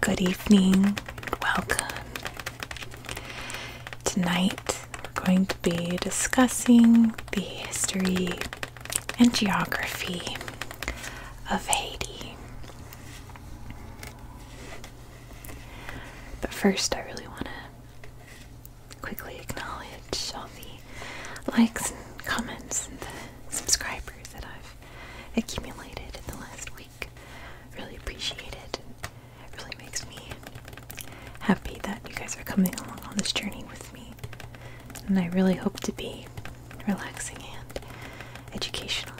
Good evening welcome. Tonight we're going to be discussing the history and geography of Haiti. But first, I really want to quickly acknowledge all the likes and comments and the subscribers that I've accumulated in the last week. Really appreciate it. It really makes me happy that you guys are coming along on this journey with me. And I really hope to be relaxing and educational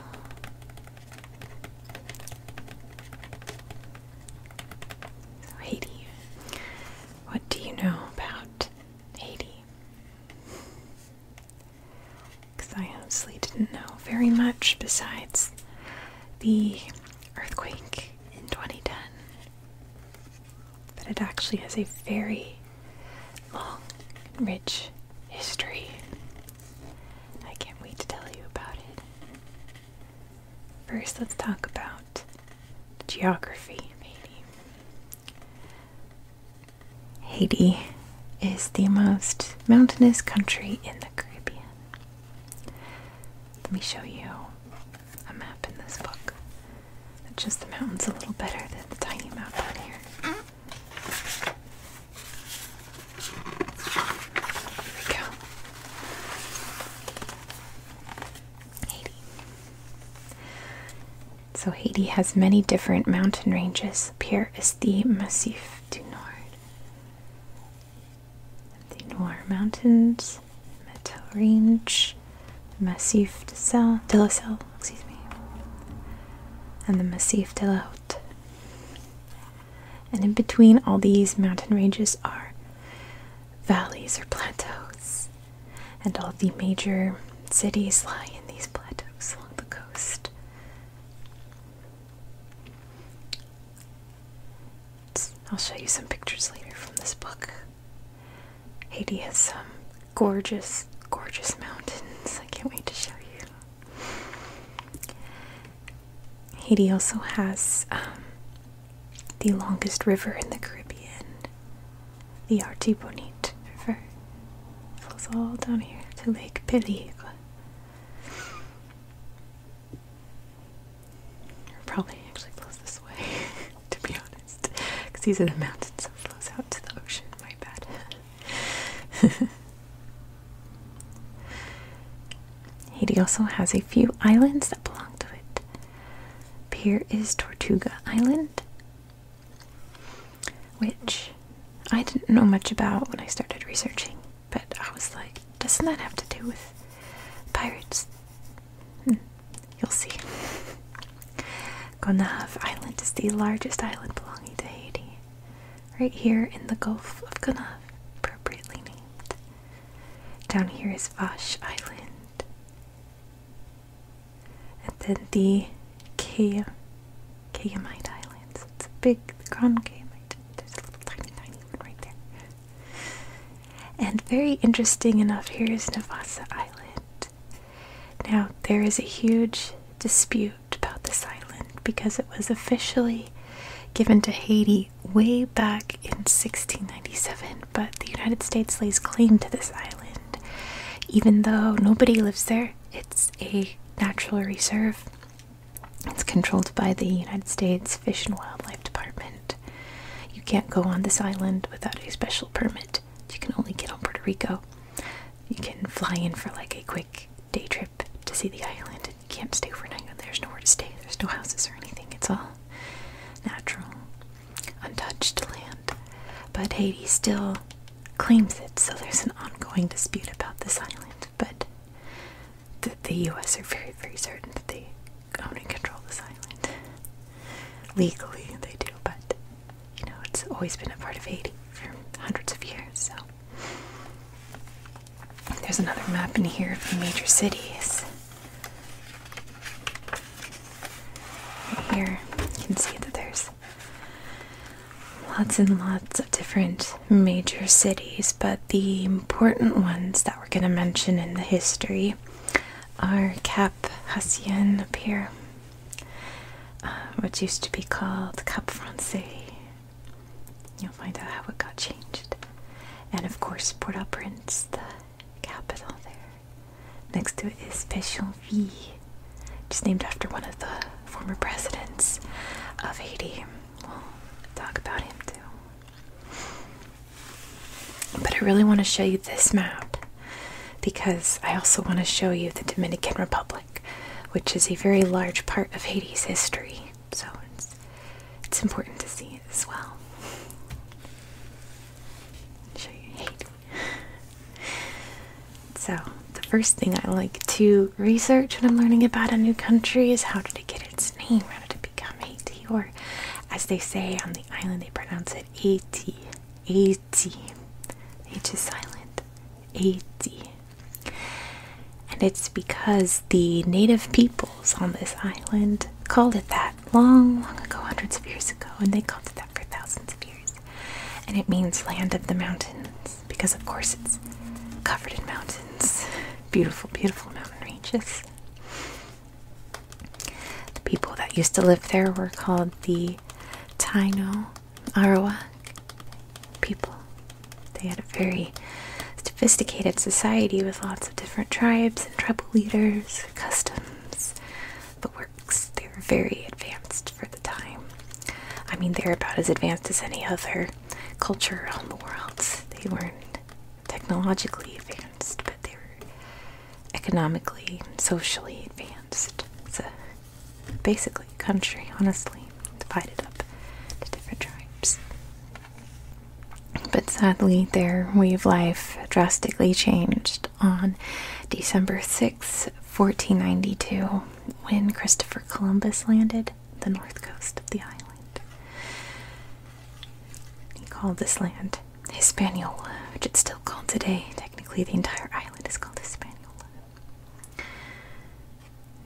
Haiti. What do you know about Haiti? Because I honestly didn't know very much besides the earthquake in 2010. But it actually has a very long rich history. I can't wait to tell you about it. First, let's talk about geography of Haiti. is the most mountainous country in the Caribbean. Let me show you a map in this book. It's just the mountains a little better than the tiny map on here. So Haiti has many different mountain ranges. Here is the Massif du Nord. The Noir Mountains, Metal Range, Massif de, Sel, de la Selle, excuse me, and the Massif de la Haute and in between all these mountain ranges are valleys or plateaus, and all the major cities lie in these plateaus along the coast. I'll show you some pictures later from this book. Haiti has some gorgeous, gorgeous mountains. I can't wait to show you. Haiti also has um, the longest river in the Caribbean, the Artibonite River. flows all down here to Lake Peligre. Probably actually flows this way, to be honest, because these are the mountains, so it flows out to the ocean. My bad. Haiti also has a few islands that belong to it. Here is Tortuga Island, which I didn't know much about when I started researching, but I was like, doesn't that have to do with pirates? Hmm, you'll see. Gonav Island is the largest island belonging to Haiti right here in the Gulf of Gunav, appropriately named. Down here is Vash Island. And then the Kay Kayamite Islands. It's a big Grand Kayamite. There's right there. And very interesting enough here is Navasa Island. Now there is a huge dispute about this island because it was officially given to Haiti way back in 1697, but the United States lays claim to this island. Even though nobody lives there, it's a natural reserve. It's controlled by the United States Fish and Wildlife Department. You can't go on this island without a special permit. You can only get on Puerto Rico. You can fly in for like a quick day trip to see the island and you can't stay overnight there's nowhere to stay. There's no houses or anything. It's all natural, untouched land. But Haiti still claims it, so there's an ongoing dispute about this island. But the, US are very, very certain that they own and control this island. Legally, they do, but you know, it's always been a part of Haiti for hundreds of years. So there's another map in here of the major cities. here, you can see that there's lots and lots of different major cities, but the important ones that we're going to mention in the history are Cap Hassien up here um, which used to be called Cap Francais. You'll find out how it got changed. And of course, Port au Prince, the capital there. Next to it is Pétionville, just named after one of the former presidents of Haiti. We'll talk about him too. But I really want to show you this map because I also want to show you the Dominican Republic which is a very large part of Haiti's history. So it's, it's important to see it as well. Show you Haiti. So the first thing I like to research when I'm learning about a new country is how did it get its name? How did it become Haiti? Or as they say on the island, they pronounce it Haiti. Haiti. H is silent. Haiti. And it's because the native peoples on this island called it that long, long ago, hundreds of years ago, and they called it that for thousands of years. And it means land of the mountains, because of course it's covered in mountains. Beautiful, beautiful mountain ranges. The people that used to live there were called the Taino Arawak people. They had a very sophisticated society with lots of different tribes and tribal leaders, customs, but works. They were very advanced for the time. I mean, they're about as advanced as any other culture around the world. They weren't technologically advanced, but they were economically and socially advanced basically country, honestly, divided up into different tribes. But sadly, their way of life drastically changed on December 6, 1492, when Christopher Columbus landed the north coast of the island. He called this land Hispaniola, which it's still called today. Technically, the entire island is called Hispaniola.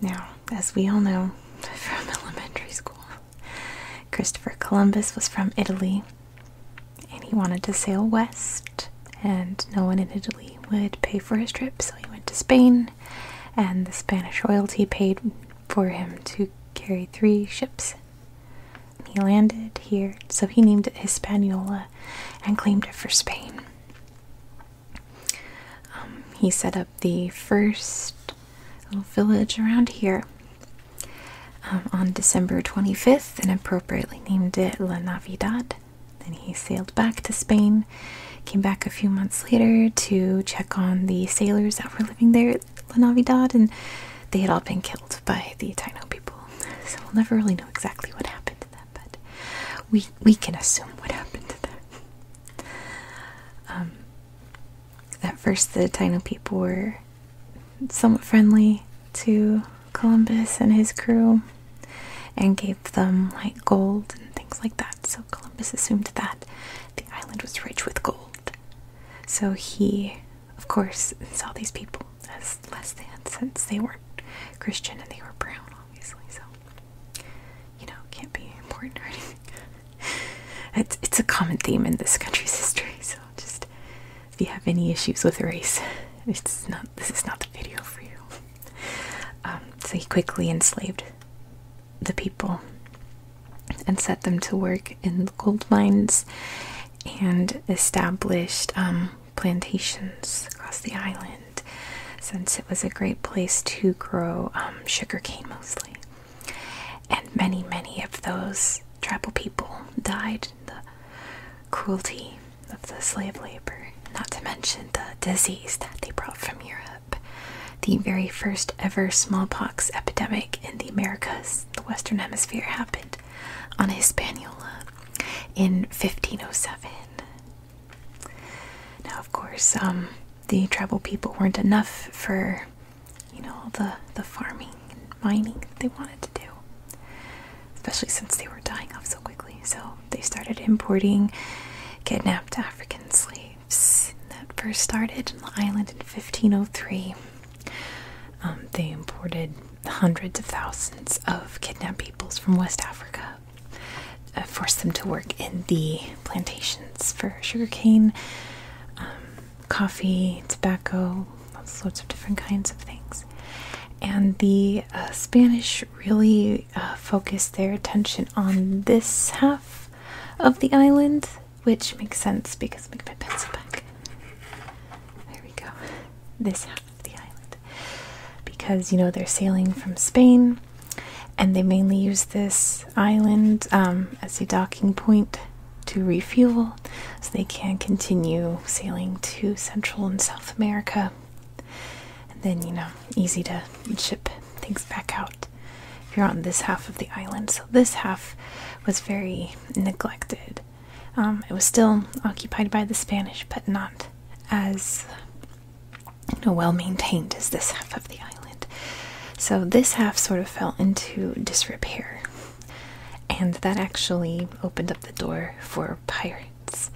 Now, as we all know from elementary school, Christopher Columbus was from Italy and he wanted to sail west, and no one in Italy would pay for his trip, so he went to Spain, and the Spanish royalty paid for him to carry three ships. He landed here, so he named it Hispaniola and claimed it for Spain. Um, he set up the first little village around here um, on December 25th and appropriately named it La Navidad. Then he sailed back to Spain, came back a few months later to check on the sailors that were living there at La Navidad, and they had all been killed by the Taino people. So we'll never really know exactly what happened to them but we we can assume what happened to them. Um, at first, the Taino people were somewhat friendly to Columbus and his crew, and gave them like gold and things like that. So Columbus assumed that the island was rich with gold. So he, of course, saw these people as less than since they weren't Christian and they were brown, obviously. So you know, can't be important or anything. it's it's a common theme in this country's history, so just if you have any issues with race, it's not this is not the video for you. Um, so he quickly enslaved the people and set them to work in the gold mines and established um, plantations across the island since it was a great place to grow um, sugar cane mostly. And many, many of those tribal people died the cruelty of the slave labor, not to mention the disease that they brought from Europe. The very first ever smallpox epidemic in the Americas, the Western Hemisphere, happened on Hispaniola in 1507. Now, of course, um, the tribal people weren't enough for, you know, all the the farming and mining that they wanted to do, especially since they were dying off so quickly. So they started importing kidnapped African slaves. That first started on the island in 1503. Um, they imported hundreds of thousands of kidnapped peoples from West Africa uh, forced them to work in the plantations for sugarcane, um, coffee, tobacco, lots of different kinds of things. And the uh, Spanish really uh, focused their attention on this half of the island, which makes sense because make my pencil back. There we go. This half of the island because you know they're sailing from Spain and they mainly use this island um, as a docking point to refuel so they can continue sailing to Central and South America. And then, you know, easy to ship things back out if you're on this half of the island. So, this half was very neglected. Um, it was still occupied by the Spanish, but not as how well maintained is this half of the island. So this half sort of fell into disrepair, and that actually opened up the door for pirates.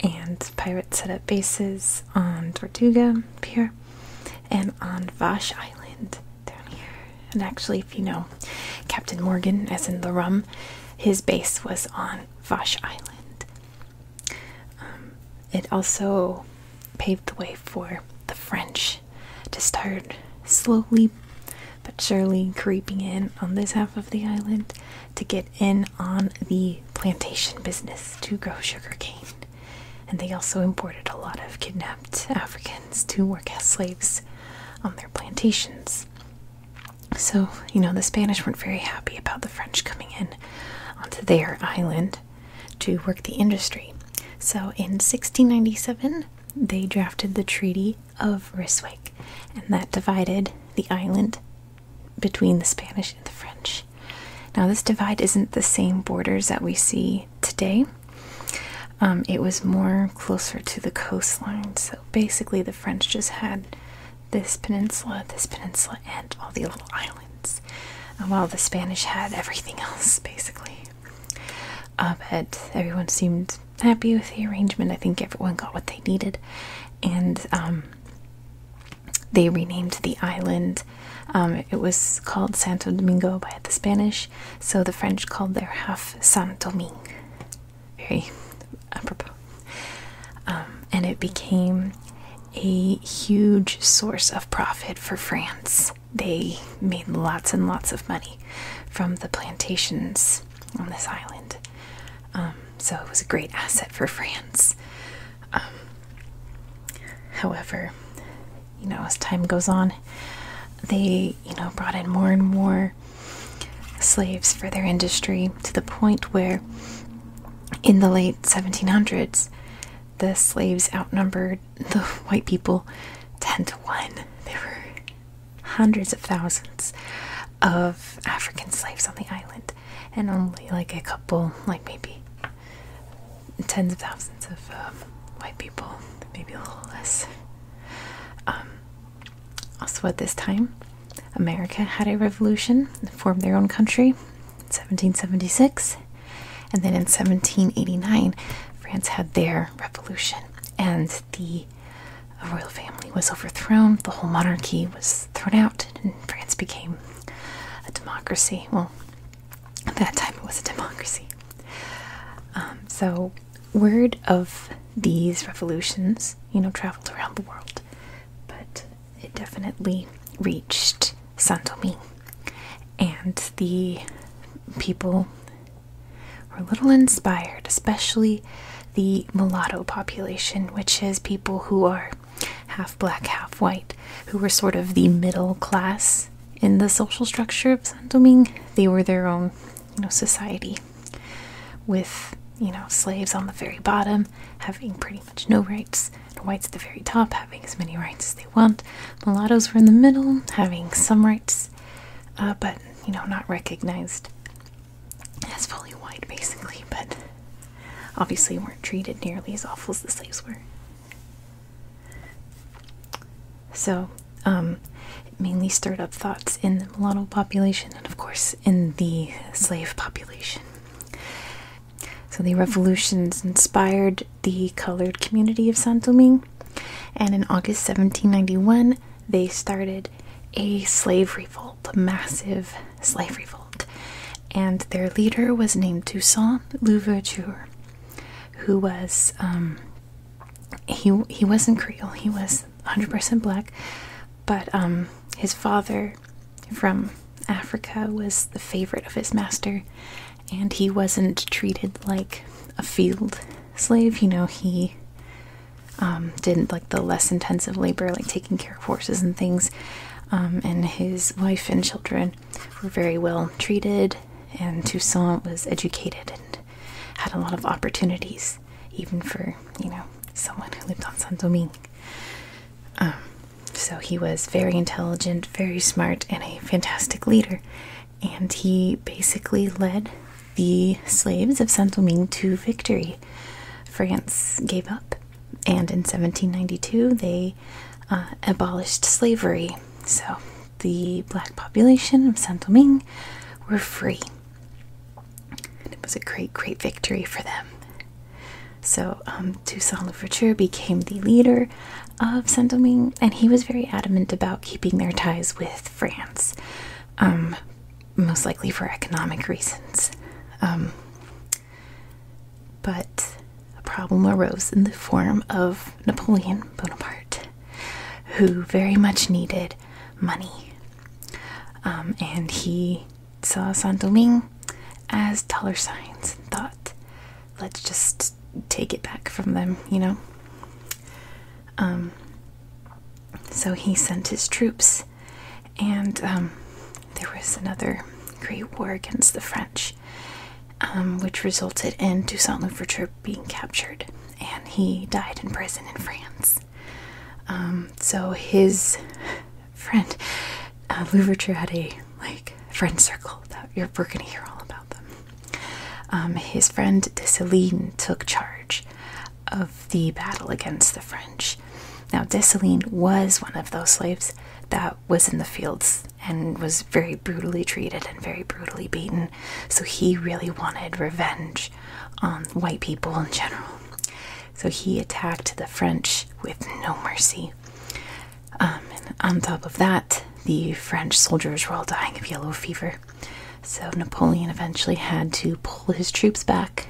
And pirates set up bases on Tortuga here, and on Vash Island down here. And actually, if you know Captain Morgan, as in the rum, his base was on Vash Island. Um, it also paved the way for the French to start slowly but surely creeping in on this half of the island to get in on the plantation business to grow sugarcane. And they also imported a lot of kidnapped Africans to work as slaves on their plantations. So, you know, the Spanish weren't very happy about the French coming in onto their island to work the industry. So, in 1697, they drafted the Treaty of Ryswick, and that divided the island between the Spanish and the French. Now, this divide isn't the same borders that we see today. Um, it was more closer to the coastline. So basically, the French just had this peninsula, this peninsula, and all the little islands, while the Spanish had everything else basically. Uh, but everyone seemed happy with the arrangement. I think everyone got what they needed, and um, they renamed the island. Um, it was called Santo Domingo by the Spanish, so the French called their half Saint Domingue. Very apropos. Um, and it became a huge source of profit for France. They made lots and lots of money from the plantations on this island. Um, so it was a great asset for France. Um, however, you know, as time goes on, they, you know, brought in more and more slaves for their industry to the point where in the late 1700s, the slaves outnumbered the white people 10 to 1. There were hundreds of thousands of African slaves on the island, and only like a couple, like maybe tens of thousands of um, white people, maybe a little less. Um, also, at this time, America had a revolution, formed their own country in 1776, and then in 1789, France had their revolution, and the royal family was overthrown. The whole monarchy was thrown out, and France became a democracy. Well, at that time it was a democracy. Um, so, word of these revolutions, you know, traveled around the world but it definitely reached Saint Domingue. And the people were a little inspired, especially the mulatto population, which is people who are half black, half white, who were sort of the middle class in the social structure of Saint Domingue. They were their own, society with, you know, slaves on the very bottom having pretty much no rights, whites at the very top having as many rights as they want. Mulattoes were in the middle, having some rights, uh, but you know, not recognized as fully white, basically. But obviously, weren't treated nearly as awful as the slaves were. So, um, mainly stirred up thoughts in the mulatto population and, of course, in the slave population. So the revolutions inspired the colored community of Saint Domingue, and in August 1791 they started a slave revolt, a massive slave revolt, and their leader was named Toussaint Louverture, who was um, he he wasn't Creole, he was 100% black, but um, his father from Africa was the favorite of his master, and he wasn't treated like a field slave. You know, he um, did like the less intensive labor, like taking care of horses and things. Um, and his wife and children were very well treated, and Toussaint was educated and had a lot of opportunities even for you know someone who lived on Saint Domingue. Um, so he was very intelligent, very smart, and a fantastic leader. And he basically led the slaves of Saint Domingue to victory. France gave up, and in 1792 they uh, abolished slavery. So the black population of Saint Domingue were free. And it was a great, great victory for them. So um, Toussaint Louverture became the leader of Saint Domingue, and he was very adamant about keeping their ties with France, um, most likely for economic reasons. Um, but a problem arose in the form of Napoleon Bonaparte, who very much needed money. and he saw Saint Domingue as taller signs and thought, let's just take it back from them, you know? Um, so he sent his troops, and um, there was another great war against the French, um, which resulted in Toussaint Louverture being captured, and he died in prison in France. Um, so his friend uh, Louverture had a like friend circle that you're we're gonna hear all about them. Um, his friend Dessalines took charge of the battle against the French. Now Dessalines was one of those slaves that was in the fields and was very brutally treated and very brutally beaten. So he really wanted revenge on white people in general. So he attacked the French with no mercy. Um, on top of that, the French soldiers were all dying of yellow fever. So Napoleon eventually had to pull his troops back.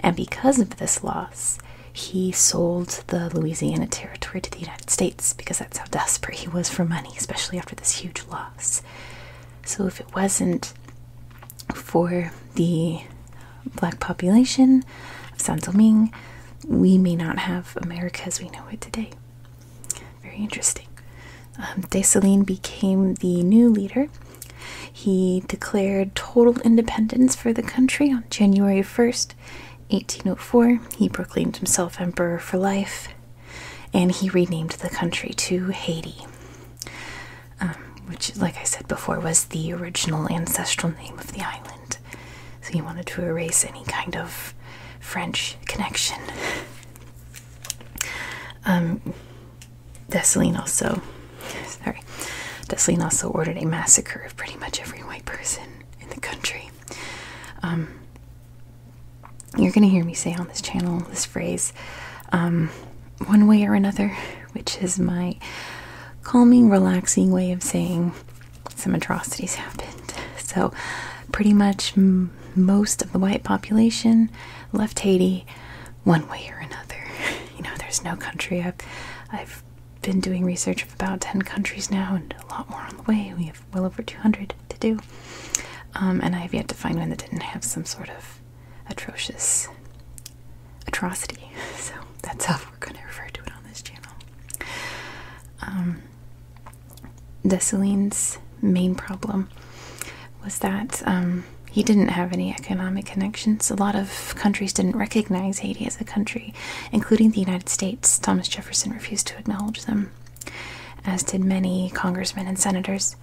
And because of this loss, he sold the Louisiana Territory to the United States because that's how desperate he was for money, especially after this huge loss. So, if it wasn't for the black population of San Domingue, we may not have America as we know it today. Very interesting. Um, became the new leader. He declared total independence for the country on January 1st, 1804. He proclaimed himself emperor for life and he renamed the country to Haiti. Um, which, like I said before, was the original ancestral name of the island. So he wanted to erase any kind of French connection. Um, Dessalines also, sorry, Dessalines also ordered a massacre of pretty much every white person in the country. Um, you're gonna hear me say on this channel this phrase. Um, one way or another, which is my calming, relaxing way of saying some atrocities happened. So, pretty much most of the white population left Haiti one way or another. You know, there's no country. I've, I've been doing research of about 10 countries now and a lot more on the way. We have well over 200 to do. Um, and I have yet to find one that didn't have some sort of atrocious atrocity. So that's how we're going to refer to it on this channel. Um, Dessalines' main problem was that um, he didn't have any economic connections. A lot of countries didn't recognize Haiti as a country, including the United States. Thomas Jefferson refused to acknowledge them, as did many congressmen and senators.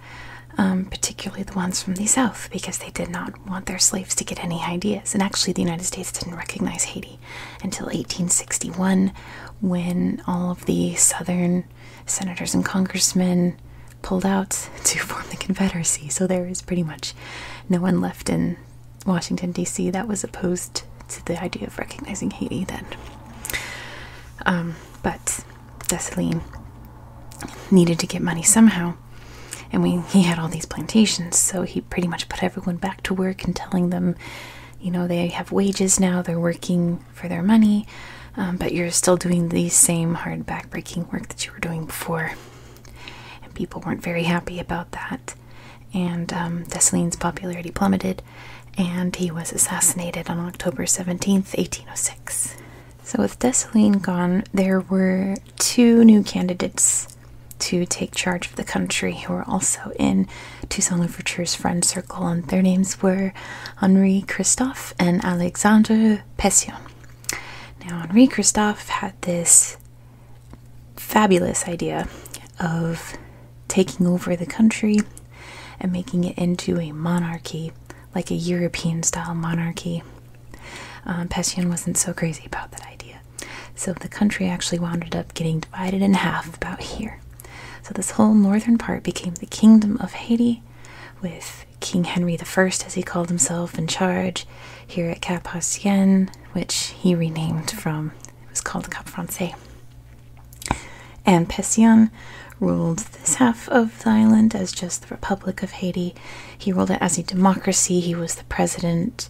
Um, particularly the ones from the South, because they did not want their slaves to get any ideas. And actually, the United States didn't recognize Haiti until 1861 when all of the Southern senators and congressmen pulled out to form the Confederacy. So there is pretty much no one left in Washington, D.C. that was opposed to the idea of recognizing Haiti then. Um, but Dessaline needed to get money somehow and he had all these plantations, so he pretty much put everyone back to work and telling them, you know, they have wages now, they're working for their money, um, but you're still doing the same hard, backbreaking work that you were doing before. And people weren't very happy about that. And um, Dessalines' popularity plummeted, and he was assassinated on October 17th, 1806. So, with Dessalines gone, there were two new candidates to take charge of the country who were also in Toussaint Louverture's friend circle, and their names were Henri Christophe and Alexandre Pession. Now, Henri Christophe had this fabulous idea of taking over the country and making it into a monarchy like a European style monarchy. Um, wasn't so crazy about that idea. So the country actually wound up getting divided in half about here. So this whole northern part became the Kingdom of Haiti, with King Henry I, as he called himself, in charge here at Cap Hacienne, which he renamed from, it was called Cap Francais. And Pession ruled this half of the island as just the Republic of Haiti, he ruled it as a democracy. He was the president,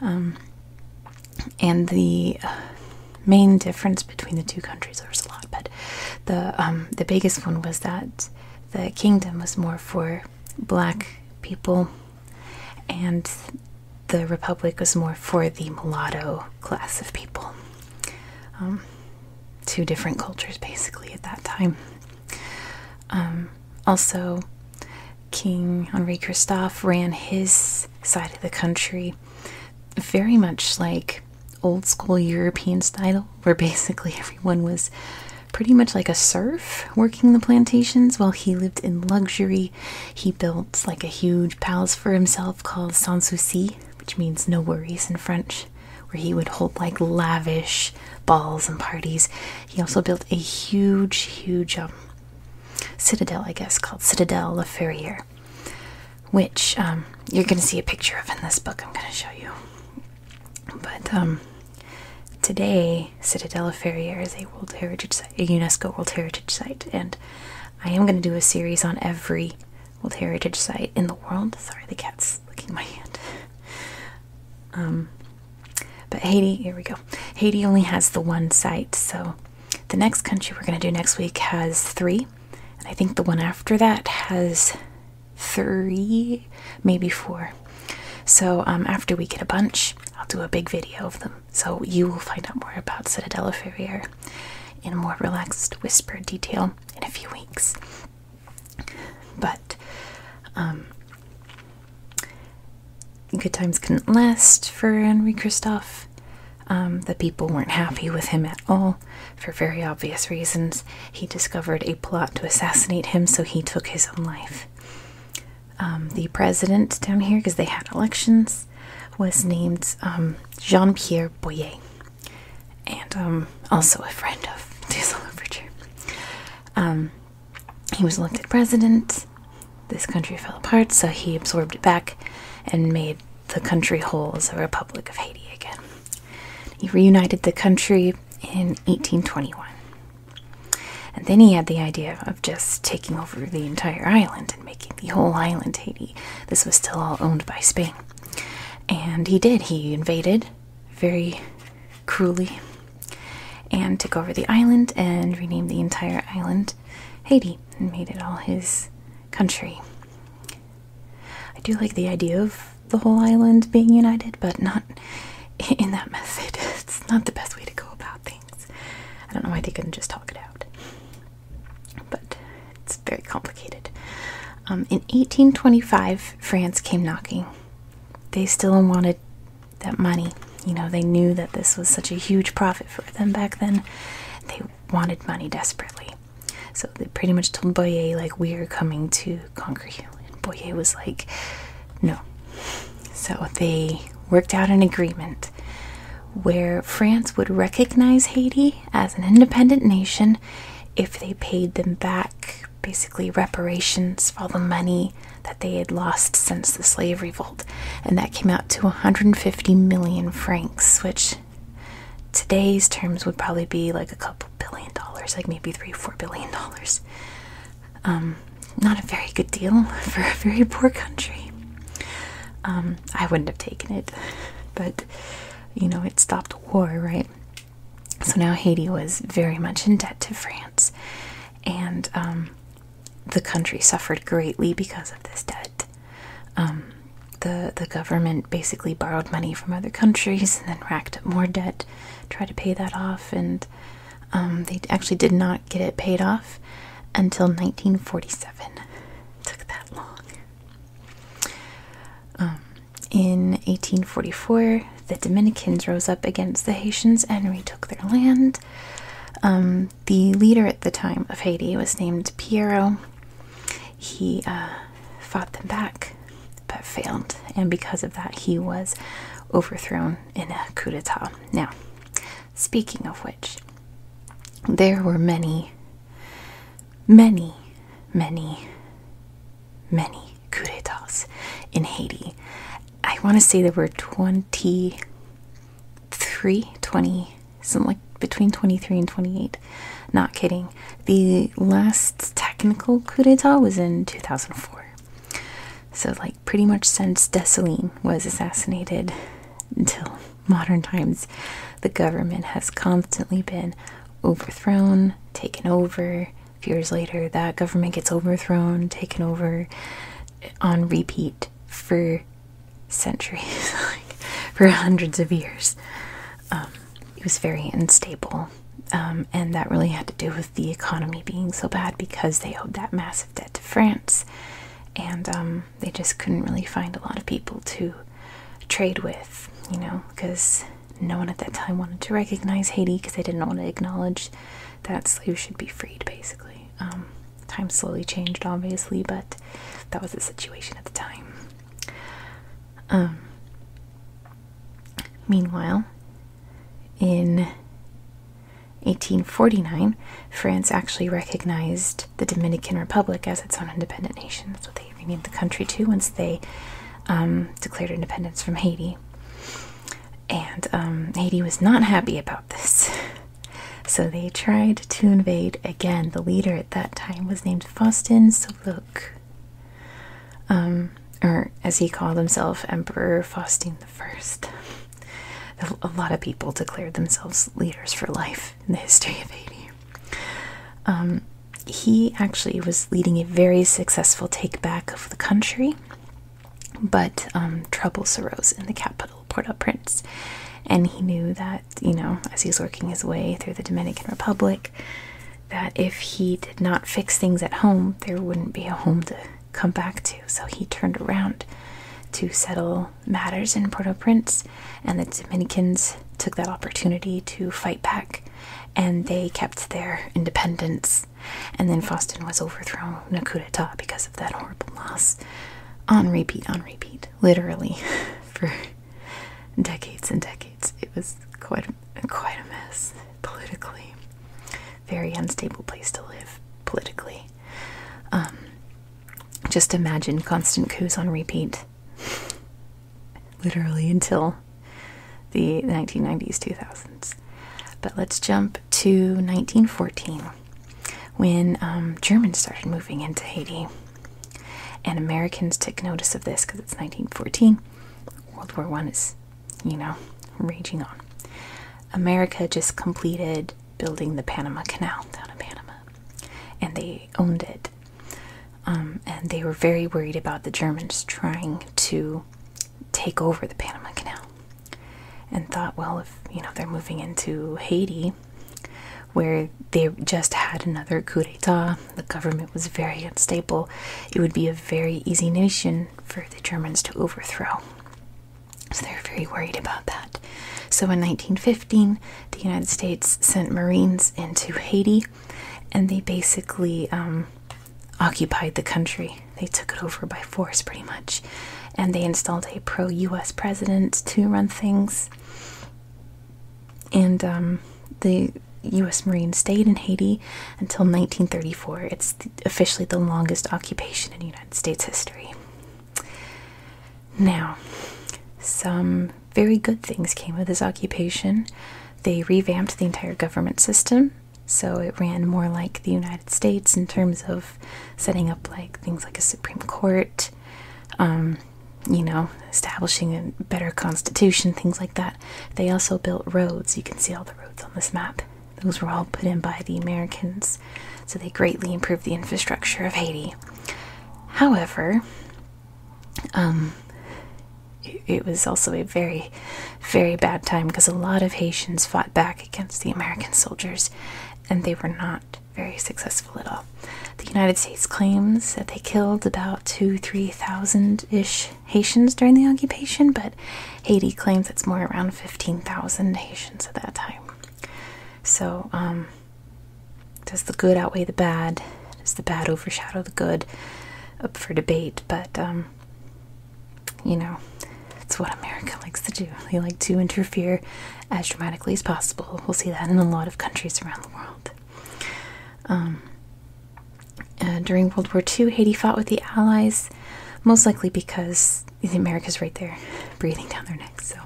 um, and the uh, main difference between the two countries there was a lot, but the um, the biggest one was that the kingdom was more for black people, and the republic was more for the mulatto class of people. Um, two different cultures basically at that time um, also, King Henri Christophe ran his side of the country very much like old school European style, where basically everyone was pretty much like a serf working the plantations while he lived in luxury. He built like a huge palace for himself called Sans Souci, which means no worries in French where he would hold like lavish balls and parties. He also built a huge, huge um, citadel, I guess, called Citadel La Ferriere, which um, you're going to see a picture of in this book I'm going to show you. But um, today, Citadel La Ferriere is a World Heritage Site, a UNESCO World Heritage Site, and I am going to do a series on every World Heritage Site in the world. Sorry, the cat's licking my hand. Um, but Haiti, here we go. Haiti only has the one site, so the next country we're going to do next week has three, and I think the one after that has three, maybe four. So um, after we get a bunch, I'll do a big video of them, so you will find out more about Citadella Ferrier in more relaxed, whispered detail in a few weeks. But um, good times couldn't last for Henri Christophe. Um, the people weren't happy with him at all for very obvious reasons. He discovered a plot to assassinate him, so he took his own life. Um, the president down here, because they had elections, was named Jean Pierre Boyer and um, also a friend of Diesel Overture. Um, he was elected president. This country fell apart, so he absorbed it back and made the country whole as a Republic of Haiti again. He reunited the country in 1821. And then he had the idea of just taking over the entire island and making the whole island Haiti. This was still all owned by Spain. And he did. He invaded very cruelly and took over the island and renamed the entire island Haiti and made it all his country. I do like the idea of the whole island being united, but not in that method. It's not the best way to go about things. I don't know why they couldn't just talk it out. But it's very complicated. Um, in 1825, France came knocking they still wanted that money. You know, they knew that this was such a huge profit for them back then. They wanted money desperately. So they pretty much told Boyer, like, we are coming to conquer you. And Boyer was like, no. So they worked out an agreement where France would recognize Haiti as an independent nation if they paid them back basically reparations for all the money that they had lost since the slave revolt. And that came out to 150 million francs, which today's terms would probably be like a couple billion dollars, like maybe three or four billion dollars. Um, not a very good deal for a very poor country. Um, I wouldn't have taken it, but you know, it stopped war, right? So now Haiti was very much in debt to France, and um, the country suffered greatly because of this debt. Um, the The government basically borrowed money from other countries and then racked up more debt, tried to pay that off, and um, they actually did not get it paid off until 1947. took that long. In 1844, the Dominicans rose up against the Haitians and retook their land. Um, the leader at the time of Haiti was named Piero. He uh, fought them back but failed, and because of that, he was overthrown in a coup d'etat. Now, speaking of which, there were many, many, many, many coup d'etats in Haiti. I want to say there were twenty-three, twenty, something like between 23 and 28. Not kidding. The last technical coup d'etat was in 2004. So, like, pretty much since Dessalines was assassinated until modern times, the government has constantly been overthrown, taken over, few years later, that government gets overthrown, taken over on repeat for centuries, like for hundreds of years. Um, it was very unstable, um, and that really had to do with the economy being so bad because they owed that massive debt to France, and um, they just couldn't really find a lot of people to trade with, you know, because no one at that time wanted to recognize Haiti because they didn't want to acknowledge that slaves should be freed, basically. Um, time slowly changed, obviously, but that was the situation at the time. Um, meanwhile, in 1849, France actually recognized the Dominican Republic as its own independent nation. That's they they renamed the country too once they um, declared independence from Haiti. And um, Haiti was not happy about this. So they tried to invade again. The leader at that time was named Faustin Seleuk, um, or as he called himself, Emperor Faustin I. A lot of people declared themselves leaders for life in the history of Haiti he actually was leading a very successful takeback of the country, but um, troubles arose in the capital, Port au Prince. And he knew that, you know, as he was working his way through the Dominican Republic, that if he did not fix things at home, there wouldn't be a home to come back to. So he turned around to settle matters in Port au Prince, and the Dominicans took that opportunity to fight back and they kept their independence. And then Faustin was overthrown in a coup d'etat because of that horrible loss. On repeat, on repeat, literally, for decades and decades. It was quite a, quite a mess politically. Very unstable place to live politically. Um, just imagine constant coups on repeat literally until the 1990s, 2000s. But let's jump to 1914 when um, Germans started moving into Haiti. And Americans took notice of this because it's 1914. World War One is, you know, raging on. America just completed building the Panama Canal down in Panama, and they owned it. Um, and they were very worried about the Germans trying to take over the Panama Canal and thought, well, if you know they're moving into Haiti, where they just had another coup d'etat, the government was very unstable, it would be a very easy nation for the Germans to overthrow. So they were very worried about that. So in 1915, the United States sent Marines into Haiti, and they basically um, occupied the country. They took it over by force, pretty much. And they installed a pro US president to run things. And um, the US Marine stayed in Haiti until 1934. It's officially the longest occupation in United States history. Now, some very good things came of this occupation. They revamped the entire government system, so it ran more like the United States in terms of setting up like things like a Supreme Court, um, you know, establishing a better constitution, things like that. They also built roads. You can see all the roads on this map. Those were all put in by the Americans, so they greatly improved the infrastructure of Haiti. However, um, it, was also a very, very bad time because a lot of Haitians fought back against the American soldiers and they were not very successful at all. The United States claims that they killed about two, three thousand ish Haitians during the occupation, but Haiti claims it's more around 15,000 Haitians at that time. So, um, does the good outweigh the bad? Does the bad overshadow the good? Up for debate, but um, you know, it's what America likes to do. They like to interfere as dramatically as possible. We'll see that in a lot of countries around the world. Um, uh, during World War II, Haiti fought with the Allies, most likely because America's right there, breathing down their neck. So,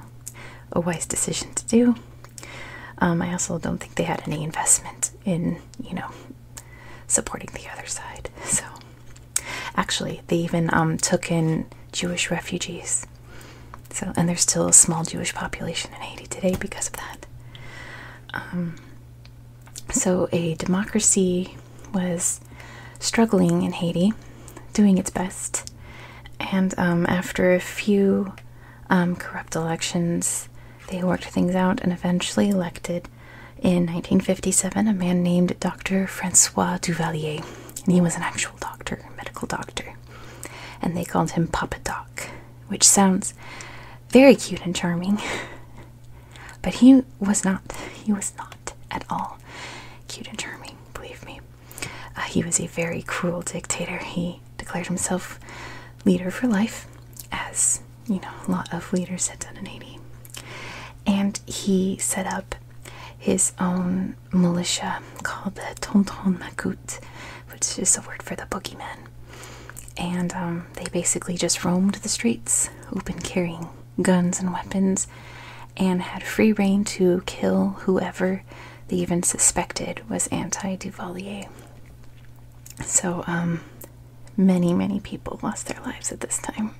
a wise decision to do. Um, I also don't think they had any investment in, you know, supporting the other side. So, actually, they even um, took in Jewish refugees. So, and there's still a small Jewish population in Haiti today because of that. Um, so, a democracy was struggling in Haiti, doing its best, and um, after a few corrupt elections, they worked things out and eventually elected in 1957 a man named Dr. Francois Duvalier. And he was an actual doctor, medical doctor. And they called him Papa Doc, which sounds very cute and charming. But he was not, he was not at all cute and charming, believe me. Uh, he was a very cruel dictator. He declared himself leader for life, as you know, a lot of leaders had done in Haiti. And he set up his own militia called the Tonton Macoute, which is a word for the boogeyman. And um, they basically just roamed the streets, open carrying guns and weapons, and had free reign to kill whoever they even suspected was anti Duvalier. So, um, many, many people lost their lives at this time.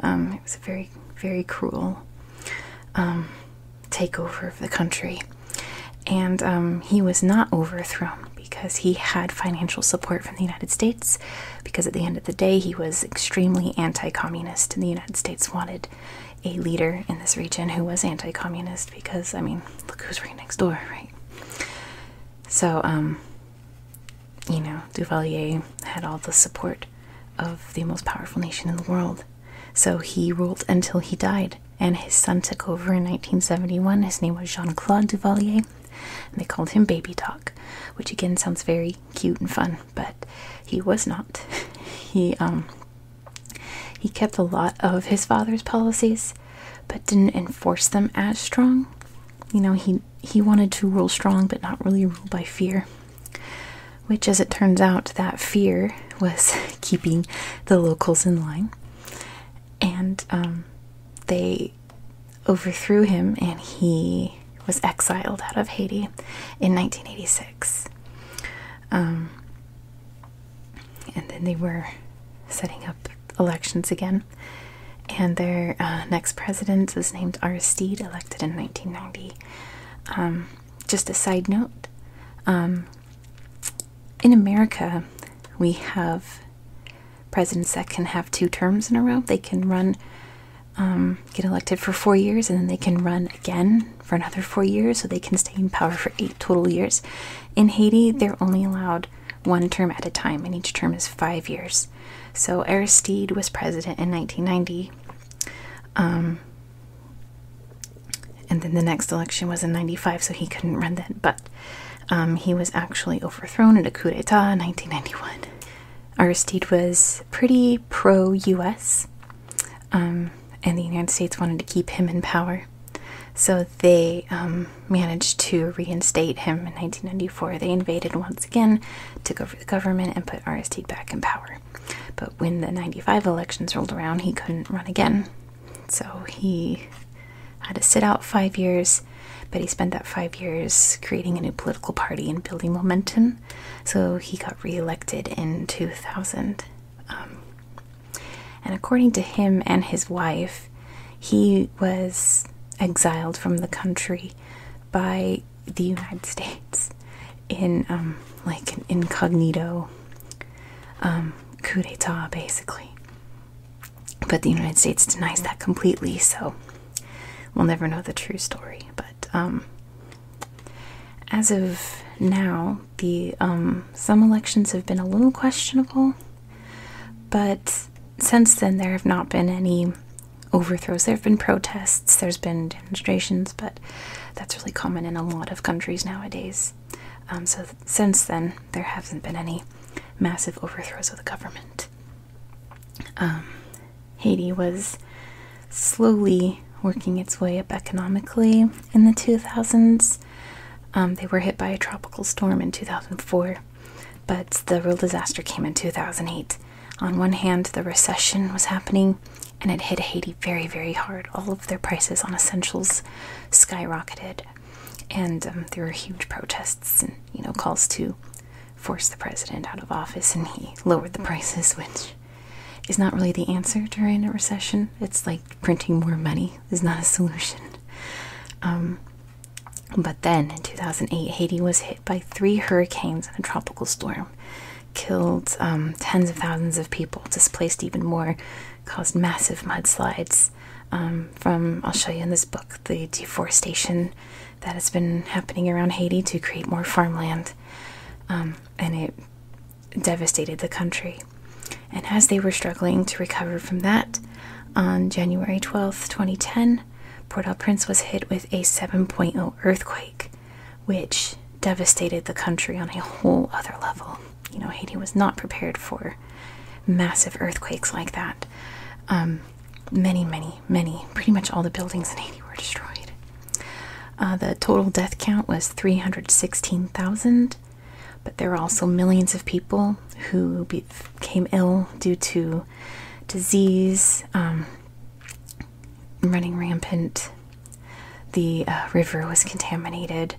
Um, it was a very, very cruel um, takeover of the country. And um, he was not overthrown because he had financial support from the United States. Because at the end of the day, he was extremely anti communist, and the United States wanted a leader in this region who was anti communist because, I mean, look who's right next door, right? So, um, you know, Duvalier had all the support of the most powerful nation in the world. So he ruled until he died, and his son took over in 1971. His name was Jean Claude Duvalier, and they called him Baby Doc, which again sounds very cute and fun, but he was not. He, um, he kept a lot of his father's policies but didn't enforce them as strong. You know, he he wanted to rule strong but not really rule by fear. Which as it turns out that fear was keeping the locals in line. And um, they overthrew him and he was exiled out of Haiti in 1986. Um, and then they were setting up elections again. And their uh, next president was named Aristide, elected in 1990. Um, just a side note um, in America, we have presidents that can have two terms in a row. They can run, um, get elected for four years, and then they can run again for another four years, so they can stay in power for eight total years. In Haiti, they're only allowed one term at a time, and each term is five years. So Aristide was president in 1990. Um, and then the next election was in 95, so he couldn't run then. But um, he was actually overthrown in a coup d'etat in 1991. Aristide was pretty pro US, um, and the United States wanted to keep him in power. So they um, managed to reinstate him in 1994. They invaded once again, took over the government, and put Aristide back in power. But when the 95 elections rolled around, he couldn't run again. So he had to sit out five years, but he spent that five years creating a new political party and building momentum. So he got reelected in 2000. Um, and according to him and his wife, he was exiled from the country by the United States in um, like an incognito um, coup d'etat, basically. But the United States denies that completely, so we'll never know the true story. But um, as of now, the some elections have been a little questionable. But since then, there have not been any overthrows. There have been protests, there's been demonstrations, but that's really common in a lot of countries nowadays. Um, so, since then, there hasn't been any massive overthrows of the government. Um, Haiti was slowly working its way up economically in the 2000s. Um, they were hit by a tropical storm in 2004, but the real disaster came in 2008. On one hand, the recession was happening and it hit Haiti very, very hard. All of their prices on essentials skyrocketed, and um, there were huge protests and you know calls to force the president out of office, and he lowered the hmm. prices, which is not really the answer during a recession. It's like printing more money is not a solution. Um, but then in 2008, Haiti was hit by three hurricanes and a tropical storm, killed um, tens of thousands of people, displaced even more, caused massive mudslides. Um, from I'll show you in this book the deforestation that has been happening around Haiti to create more farmland, and it devastated the country. And as they were struggling to recover from that, on January 12, 2010, Port au Prince was hit with a 7.0 earthquake, which devastated the country on a whole other level. You know, Haiti was not prepared for massive earthquakes like that. Um, many, many, many, pretty much all the buildings in Haiti were destroyed. Uh, the total death count was 316,000. But there were also millions of people who became ill due to disease um, running rampant. The uh, river was contaminated,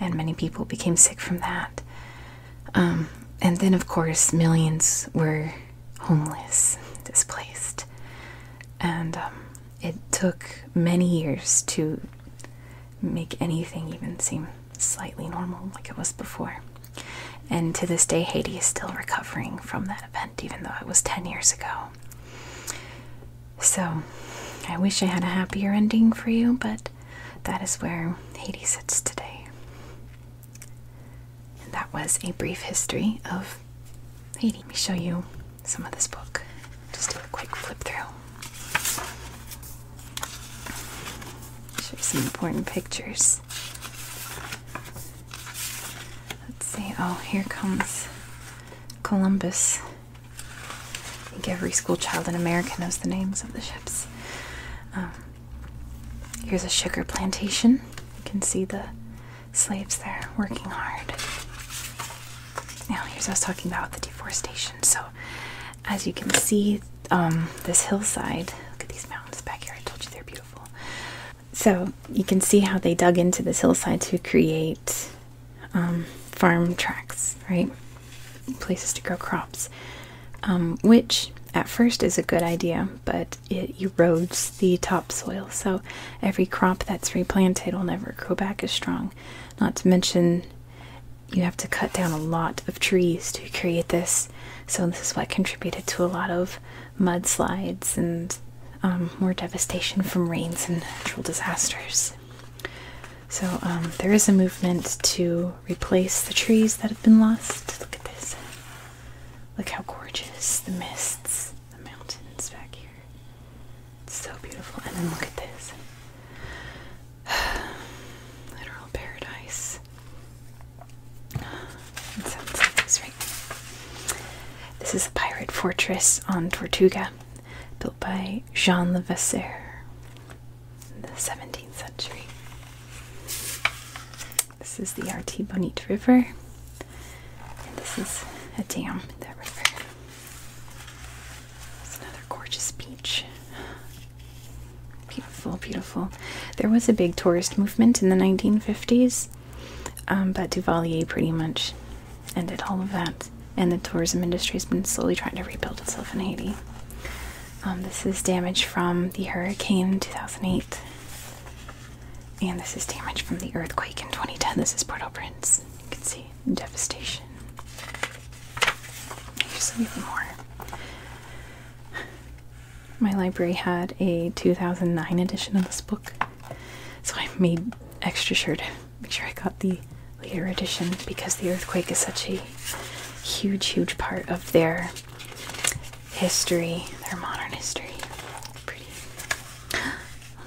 and many people became sick from that. Um, and then, of course, millions were homeless, displaced. And um, it took many years to make anything even seem slightly normal like it was before. And to this day, Haiti is still recovering from that event, even though it was 10 years ago. So, I wish I had a happier ending for you, but that is where Haiti sits today. And that was a brief history of Haiti. Let me show you some of this book. Just do a quick flip through. Show some important pictures. Let's see. Oh, here comes Columbus. I think every school child in America knows the names of the ships. Um, here's a sugar plantation. You can see the slaves there working hard. Now, here's what I was talking about with the deforestation. So, as you can see, um, this hillside. Look at these mountains back here. I told you they're beautiful. So you can see how they dug into this hillside to create um, farm tracks, right? Places to grow crops, um, which at first is a good idea, but it erodes the topsoil. So every crop that's replanted will never grow back as strong. Not to mention, you have to cut down a lot of trees to create this. So this is what contributed to a lot of mudslides and um, more devastation from rains and natural disasters. So um, there is a movement to replace the trees that have been lost. Look at this. Look how gorgeous the mists, the mountains back here. It's so beautiful. And then look at this. Literal paradise. this, is the pirate fortress on Tortuga, built by Jean Levasseur in the 17th century. This is the Arte River, and this is a dam in that river. It's another gorgeous beach. Beautiful, beautiful. There was a big tourist movement in the 1950s, um, but Duvalier pretty much ended all of that, and the tourism industry has been slowly trying to rebuild itself in Haiti. Um, this is damage from the hurricane in 2008, and this is damage from the earthquake in 2010. This is Port au Prince. You can see devastation. Here's even more. My library had a 2009 edition of this book, so I made extra sure to make sure I got the later edition because the earthquake is such a huge, huge part of their history, their modern history. Pretty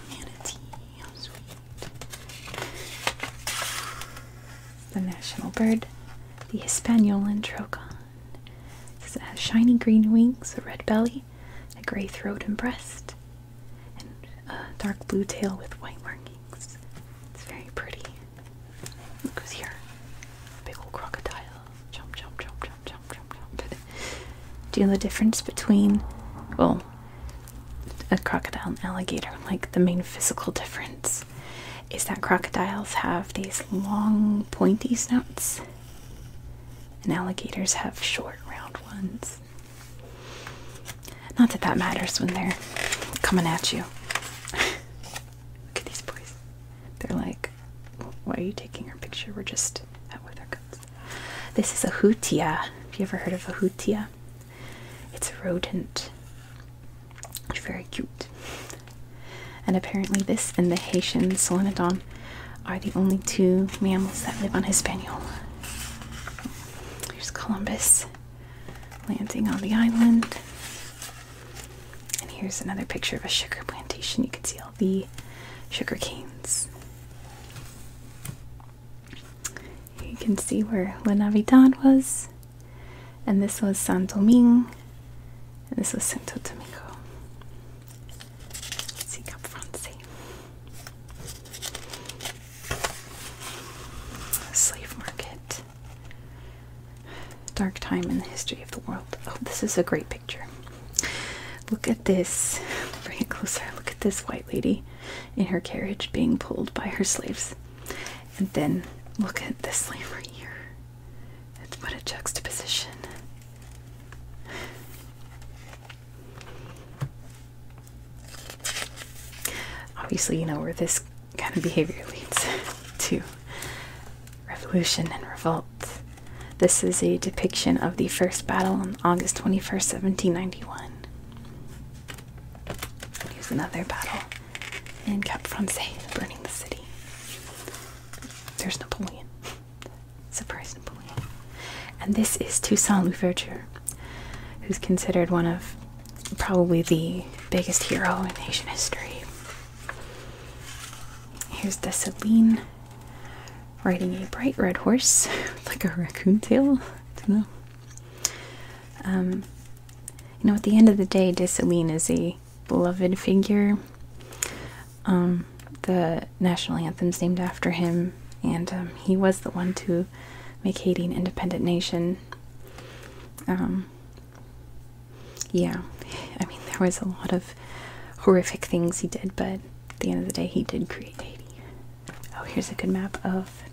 manatee, the national bird, the Hispaniolan trochon. It has shiny green wings, a red belly, a gray throat and breast, and a dark blue tail with white markings. It's very pretty. Look who's here. Big old crocodile. Jump, jump, jump, jump, jump, jump, jump. Do you know the difference between, well, a crocodile and alligator? Like the main physical difference? is that crocodiles have these long, pointy snouts, and alligators have short, round ones. Not that that matters when they're coming at you. Look at these boys. They're like, why are you taking our picture? We're just out with our guns. This is a hootia. Have you ever heard of a hootia? It's a rodent. It's very cute. And apparently this and the Haitian Solenodon are the only two mammals that live on Hispaniola. Here's Columbus landing on the island. And here's another picture of a sugar plantation. You can see all the sugar canes. You can see where La Navidad was and this was San Domingo, and this was Santo Domingo. let up front, see. Slave market. Dark time in the history of the world. Oh, this is a great picture. Look at this. Bring it closer. Look at this white lady in her carriage being pulled by her slaves. And then look at this leaf right here. It's what a juxtaposition. Obviously, you know where this kind of behavior leads to revolution and revolt. This is a depiction of the first battle on August 21st, 1791. Here's another battle and Cap Francais burning the city. There's Napoleon. Surprise Napoleon. And this is Toussaint Louverture, who's considered one of probably the biggest hero in Haitian history. Here's Dessalines riding a bright red horse with like a raccoon tail. I don't know. Um, you know, at the end of the day, Dessalines is a beloved figure. Um, the national anthem's named after him, and um, he was the one to make Haiti an independent nation. Um, yeah, I mean, there was a lot of horrific things he did, but at the end of the day, he did create Haiti. Oh, here's a good map of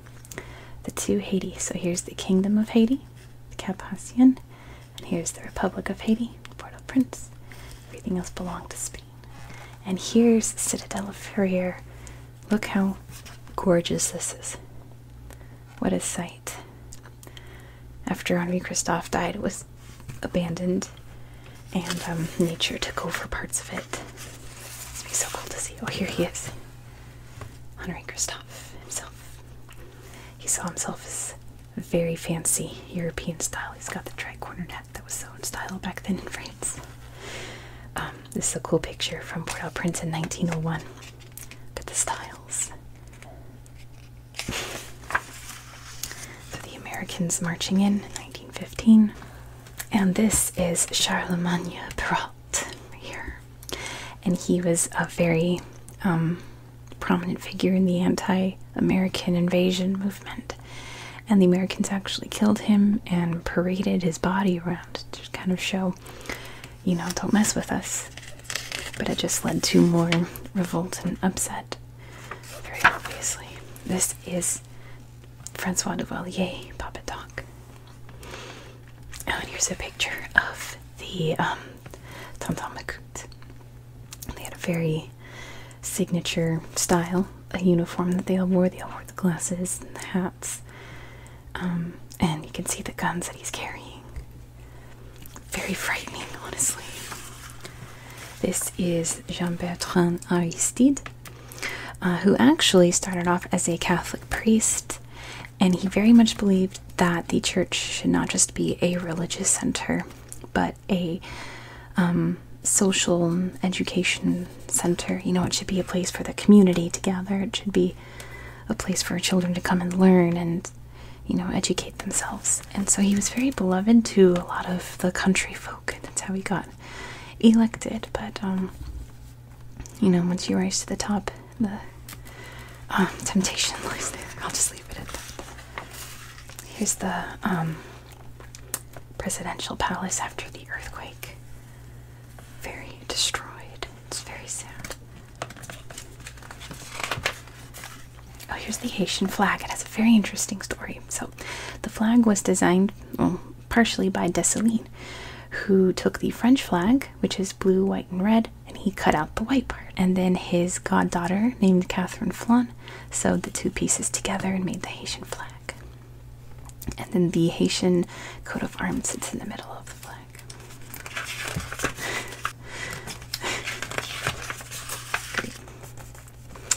the two Haiti. So here's the Kingdom of Haiti, the Cap Hacian, and here's the Republic of Haiti, Port-au-Prince. Everything else belonged to Spain. And here's the Citadel of Ferrier. Look how gorgeous this is. What a sight. After Henri Christophe died, it was abandoned and um, nature took over parts of it. it It's be so cool to see. Oh, here he is honoring Christophe himself. He saw himself as very fancy European style. He's got the tri-cornered hat that was so in style back then in France. Um, this is a cool picture from Port-au-Prince in 1901. Look at the styles. So the Americans marching in 1915. And this is Charlemagne Perrault here and he was a very um, prominent figure in the anti-American invasion movement. And the Americans actually killed him and paraded his body around to kind of show, you know, don't mess with us. But it just led to more revolt and upset, very obviously. This is Francois Duvalier, Papa Doc. Oh, and here's a picture of the um, Tom Tom McCoot. They had a very signature style, a uniform that they all wore. They all wore the glasses and the hats. Um, and you can see the guns that he's carrying. Very frightening, honestly. This is Jean Bertrand Aristide, uh, who actually started off as a Catholic priest and he very much believed that the church should not just be a religious center, but a um, social education center. You know, it should be a place for the community to gather, it should be a place for children to come and learn and, you know, educate themselves. And so he was very beloved to a lot of the country folk. That's how he got elected. But um, you know, once you rise to the top, the um, temptation lies there. I'll just leave it at that. Here's the um, presidential palace after the earthquake. Very destroyed. It's very sad. Oh, here's the Haitian flag. It has a very interesting story. So, the flag was designed partially by Dessalines, who took the French flag which is blue, white, and red, and he cut out the white part. And then his goddaughter, named Catherine Flon sewed the two pieces together and made the Haitian flag. And then the Haitian coat of arms sits in the middle of the flag.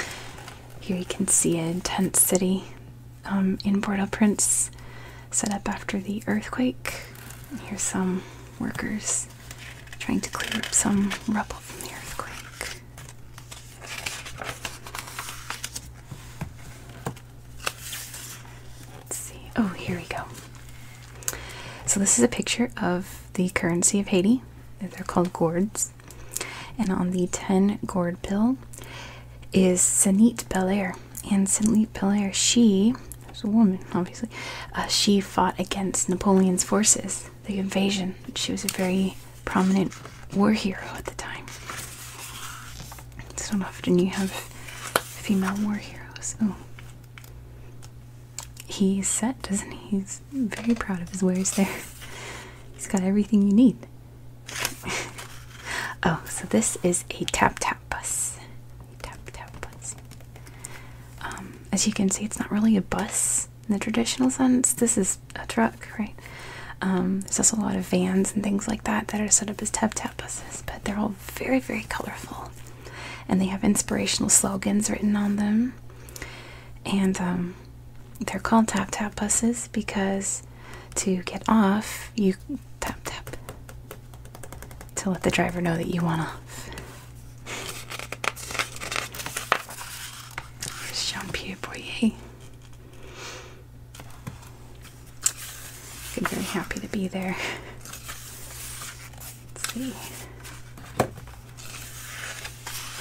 Here you can see a tent city um, in Port-au-Prince set up after the earthquake. Here's some workers trying to clear up some rubble from the earthquake. Let's see. Oh, here we go. So this is a picture of the currency of Haiti. They're called gourds. And on the 10 gourd bill is Sanit Belair and Saint Pilaire, she was a woman, obviously. Uh, she fought against Napoleon's forces, the invasion. She was a very prominent war hero at the time. It's not often you have female war heroes. Oh, he's set, doesn't he? He's very proud of his wares. There, he's got everything you need. oh, so this is a tap tap bus. Tap tap bus. Um, as you can see, it's not really a bus in the traditional sense. This is a truck, right? Um, there's also a lot of vans and things like that that are set up as tap tap buses, but they're all very, very colorful. And they have inspirational slogans written on them. And um, they're called tap tap buses because to get off, you tap tap to let the driver know that you want off. Jean Pierre Boyer. I'm very happy to be there. Let's see.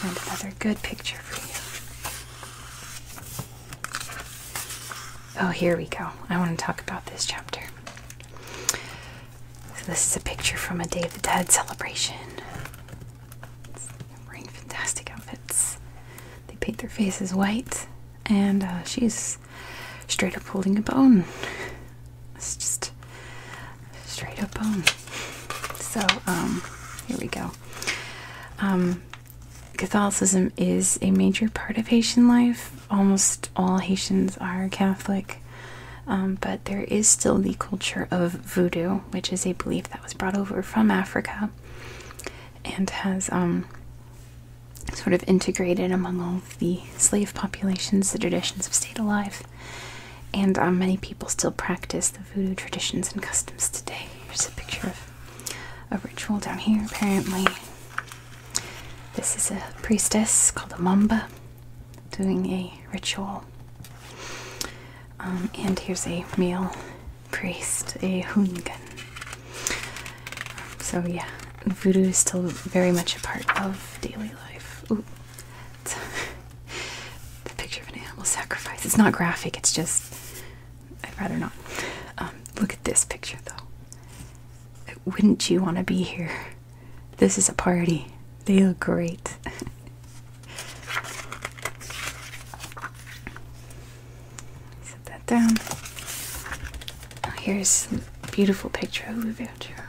And another good picture for you. Oh, here we go. I want to talk about this chapter. So this is a picture from a Day of the Dead celebration. wearing fantastic outfits. They paint their faces white, and uh, she's straight up holding a bone. It's just straight up bone. So, um, here we go. Um, Catholicism is a major part of Haitian life. Almost all Haitians are Catholic, um, but there is still the culture of voodoo, which is a belief that was brought over from Africa and has um, sort of integrated among all of the slave populations. The traditions have stayed alive, and um, many people still practice the voodoo traditions and customs today. Here's a picture of a ritual down here, apparently. This is a priestess called a Mamba doing a ritual. Um, and here's a male priest, a Hungan. So, yeah, voodoo is still very much a part of daily life. Ooh. the picture of an animal sacrifice. It's not graphic, it's just I'd rather not. Um, look at this picture though. Wouldn't you want to be here? This is a party. They look great. Set that down. here's a beautiful picture of Louverture.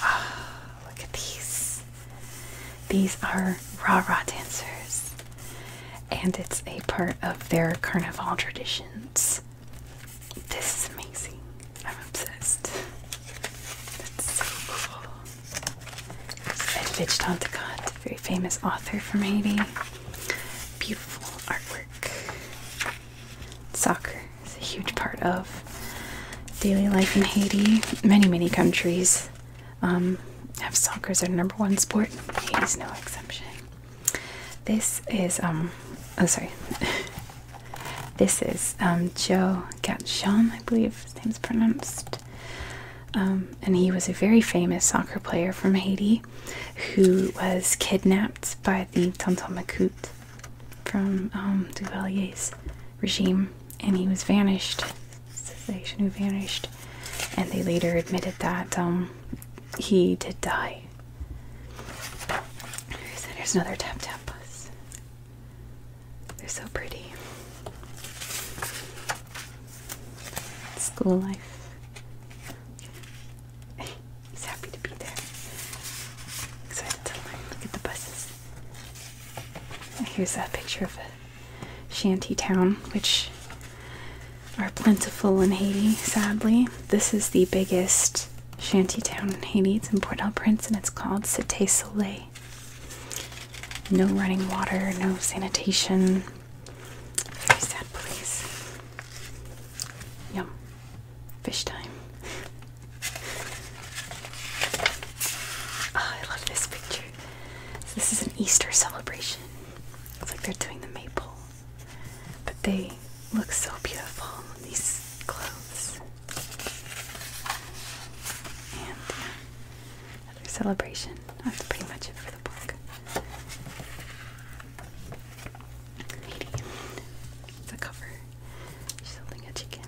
Oh, ah, look at these. These are raw raw dancers, and it's a part of their carnival traditions. This is amazing. I'm obsessed. That's so cool. Edvige Tantakat, very famous author from Haiti. Beautiful artwork. Soccer is a huge part of daily life in Haiti, many, many countries. Um, have soccer as their number one sport. He's no exception. This is um, oh sorry. this is um Joe Gatchon, I believe his name's pronounced. Um, and he was a very famous soccer player from Haiti who was kidnapped by the Tonton Macoute from um, Duvaliers regime, and he was vanished. Cessation who vanished, and they later admitted that um, he did die. Here's another tap tap bus. They're so pretty. School life. He's happy to be there. Excited to Look at the buses. Here's that picture of shanty town, which are plentiful in Haiti, sadly. This is the biggest shanty town in Haiti. It's in Port au Prince and it's called Cite Soleil. No running water, no sanitation. Very sad place. Yum. Fish time. Ah, I love this picture this is an Easter celebration. Looks like they're doing the maple. But they look so beautiful, these clothes. And uh, another celebration. That's pretty much it for the book. Lady. The cover. She's holding a chicken.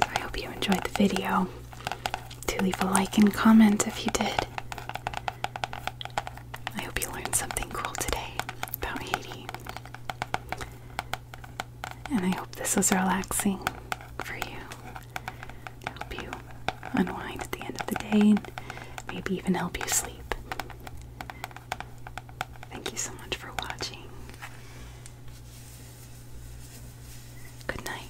I hope you enjoyed the video. Do leave a like and comment if you did. I hope you learned something cool today about Haiti. And I hope this was relaxing for you help you unwind at the end of the day and maybe even help you sleep. Thank you so much for watching. Good night.